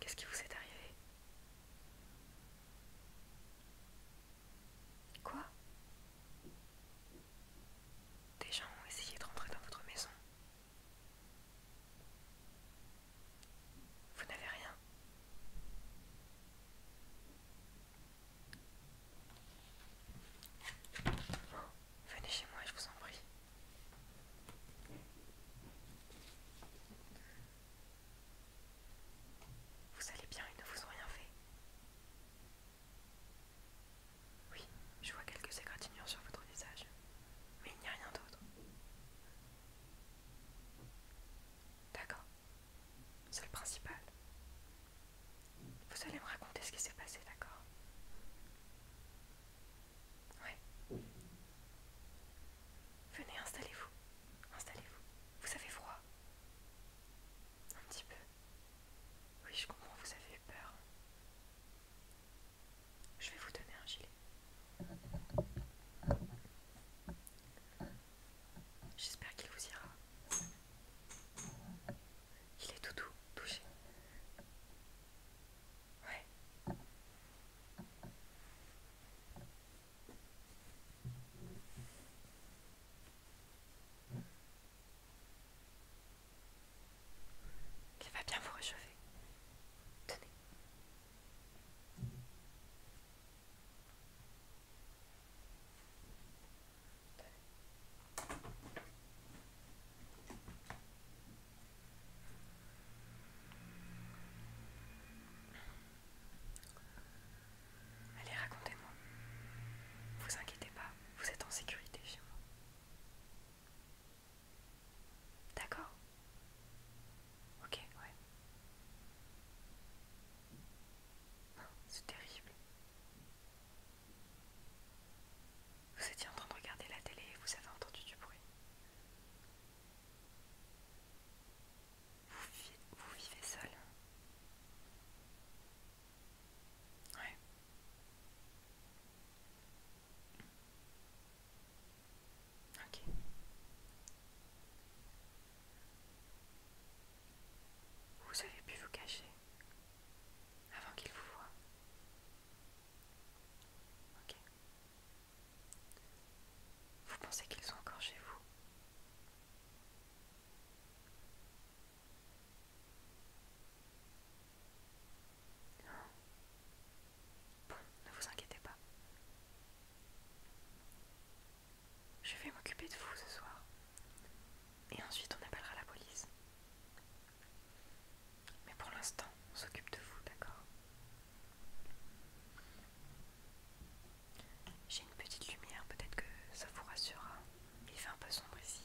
Qu'est-ce qui vous est arrivé Quoi des gens ont essayé de rentrer dans votre maison. Vous n'avez rien. venez chez moi, je vous en prie. Vous allez bien, ils ne vous ont rien fait. Oui, je vois quelques égratignures sur votre visage, mais il n'y a rien d'autre. D'accord, c'est le principal. Vous allez me raconter ce qui s'est passé, d'accord Oui Venez, installez-vous. Installez-vous. Vous avez froid un petit peu. Oui, je comprends, vous avez peur. Je vais vous donner un gilet. J'espère qu'il vous ira. Il est tout doux, touché. Ouais qui va bien vous réchauffer. Tenez. Allez, racontez-moi. Vous inquiétez pas vous êtes en sécurité chez moi. D'accord Ok, ouais. C'est terrible. Vous étiez en train de regarder la télé et vous avez entendu du bruit. Vous, vous vivez seul vous avez pu vous cacher avant qu'il vous voie. Ok. Vous pensez qu'ils sont encore chez vous Bon, ne vous inquiétez pas. Je vais m'occuper de vous ce soir. Et ensuite on appellera la police. Mais pour l'instant, on s'occupe de vous, d'accord J'ai une petite lumière, peut-être que ça vous rassurera. Il fait un peu sombre ici.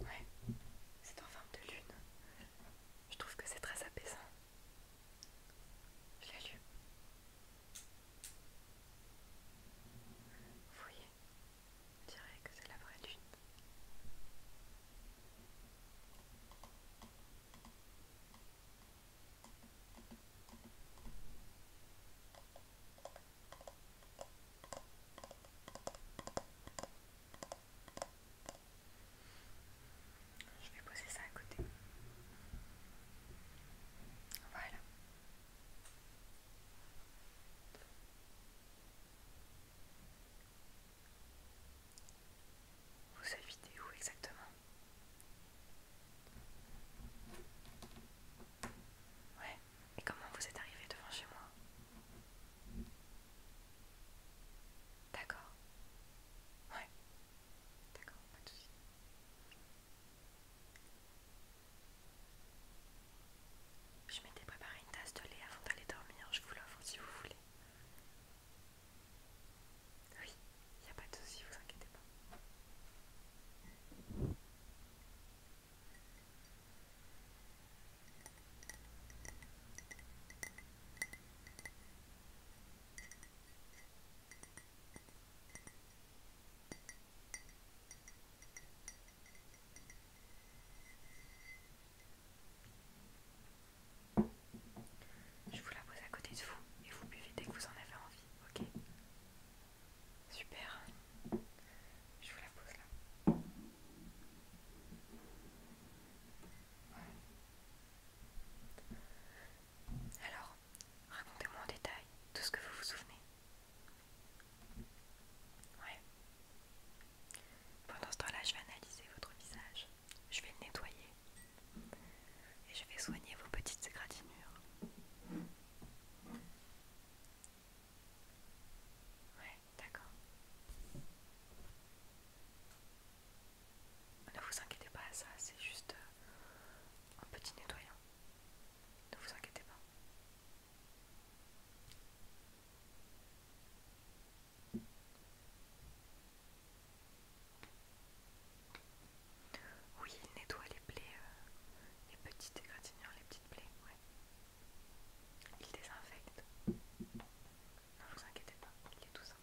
Ouais, c'est en forme de lune. Je trouve que c'est très apaisant. Je l'ai lu. Vous voyez, on dirait que c'est la vraie lune. Je vais poser ça à côté. Voilà. Vous évitez où exactement Ouais, et comment vous êtes arrivé devant chez moi D'accord. Ouais. D'accord, pas de soucis. Je m'étais préparé une tasse de lait avant d'aller dormir, je vous l'offre si vous voulez. Oui, il n'y a pas de souci, vous inquiétez pas. Je vous la pose à côté de vous et vous buvez dès que vous en avez envie, ok Super. Je vous la pose là. Alors, racontez-moi en détail tout ce que vous vous souvenez. Pendant ce temps-là, je vais analyser votre visage. Je vais le nettoyer. Et je vais soigner vos petites égratignures. Ouais, d'accord. Ne vous inquiétez pas à ça, c'est juste euh, un petit nettoyant. Ne vous inquiétez pas. Oui, il nettoie les plaies, euh, les petites égratignures, les petites plaies, ouais. Il désinfecte. Ne vous inquiétez pas, il est tout simple.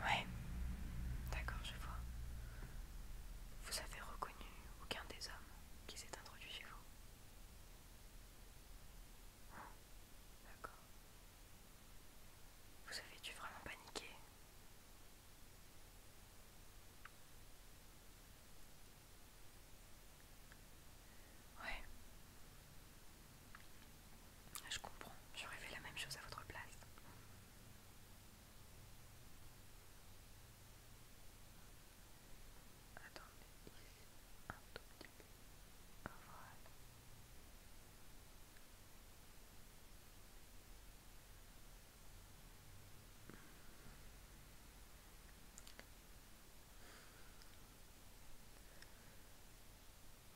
Ouais, d'accord, je vois. Vous avez reconnu aucun des hommes qui s'est introduit chez vous D'accord. Vous avez dû vraiment paniquer. Ouais. Ah, je comprends, j'aurais fait la même chose à votre place.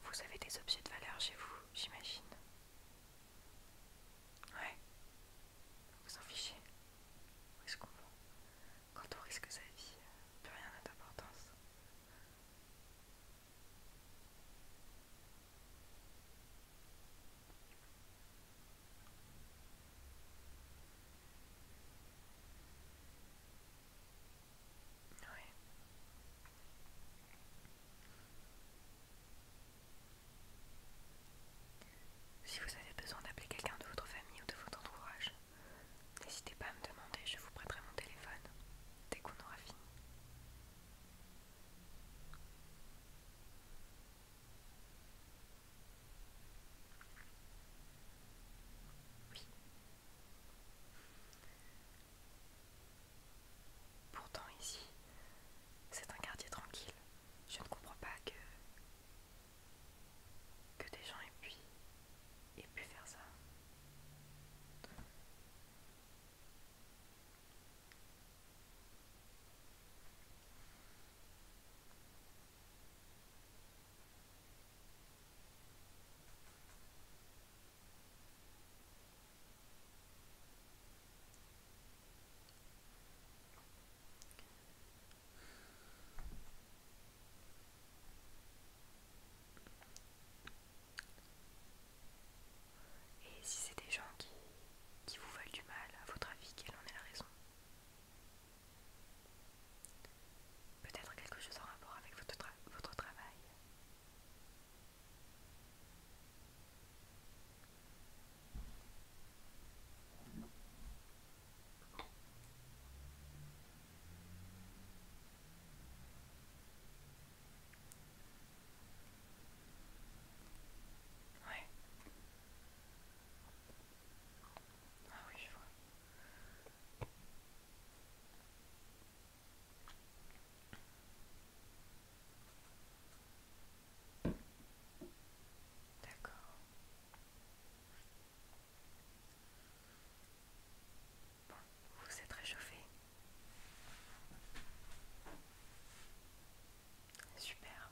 Vous avez des objets de valeur chez vous, j'imagine. Ouais. Vous en fichez. Est-ce qu'on Quand on risque sa vie, euh, plus rien n'a d'importance. Si vous avez besoin d'appeler quelqu'un de votre famille ou de votre entourage, n'hésitez pas à me demander, je vous prêterai mon téléphone dès qu'on aura fini. Oui. Pourtant ici, c'est un quartier tranquille. Je ne comprends pas que que des gens aient aient pu faire ça. Et si c'est des gens qui, qui vous veulent du mal, à votre avis, quelle en est la raison Peut-être quelque chose en rapport avec votre, votre travail. Ah oui, je vois. D'accord. Bon, vous êtes réchauffé. Super.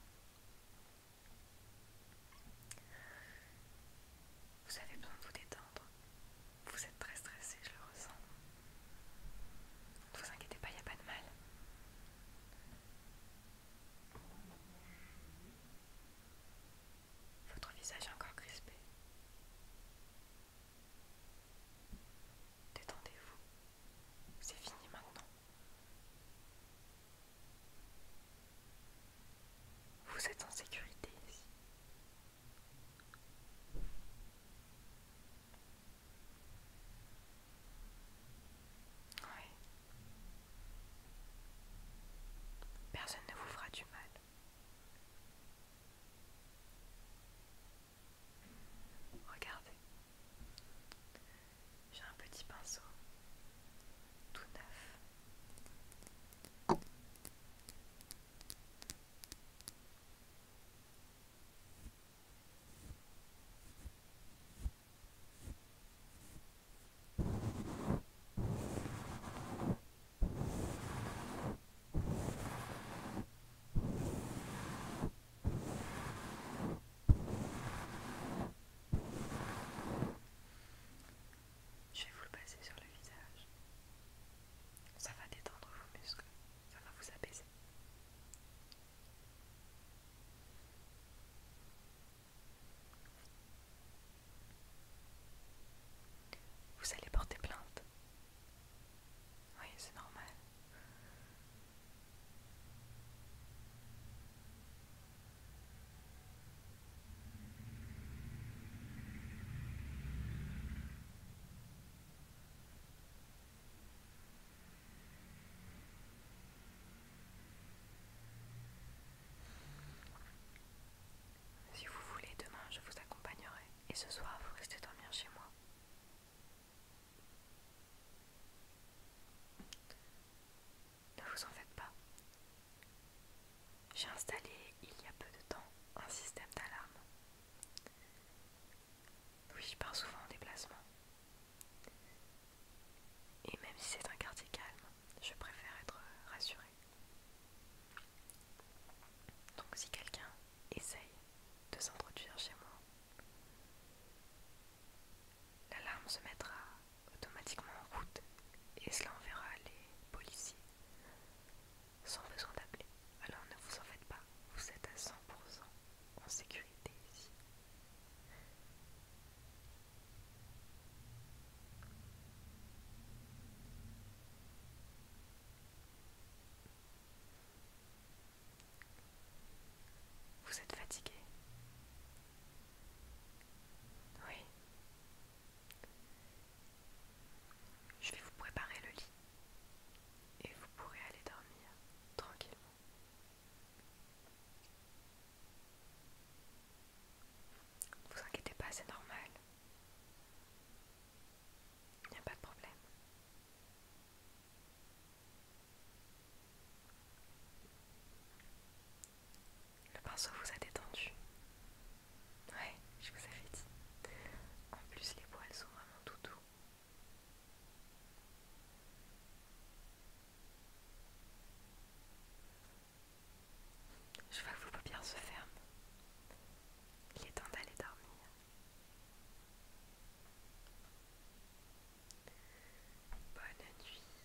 Vous avez besoin de vous détendre. Vous êtes très stressé, je le ressens. Ne vous inquiétez pas, il n'y a pas de mal. Votre visage est encore crispé. Détendez-vous. C'est fini maintenant. Vous êtes en sécurité ici. Oui. Personne ne vous fera du mal. Regardez. J'ai un petit pinceau tout neuf. Je vais vous le passer sur le visage. Ça va détendre vos muscles, ça va vous apaiser. Vous allez porter plainte. Oui, c'est normal. Si vous voulez, demain je vous accompagnerai et ce soir vous restez dormir chez moi. Ne vous en faites pas. J'ai installé il y a peu de temps un système d'alarme. Oui, je pars souvent en déplacement. Et même si c'est un quartier calme, je préfère être rassurée. Donc si quelqu'un essaye de s'introduire chez moi, l'alarme se mettra automatiquement en route et cela enverra les policiers sans besoin d'appeler. Alors ne vous en faites pas, vous êtes à 100% en sécurité ici. Vous êtes fatigué oui. Je vais vous préparer le lit et vous pourrez aller dormir tranquillement. Ne vous inquiétez pas, c'est normal. Il n'y a pas de problème. Le pinceau vous a détendu. Ouais, je vous avais dit. En plus, les poils sont vraiment tout doux. Je vois que vos paupières se ferment. Il est temps d'aller dormir. Bonne nuit.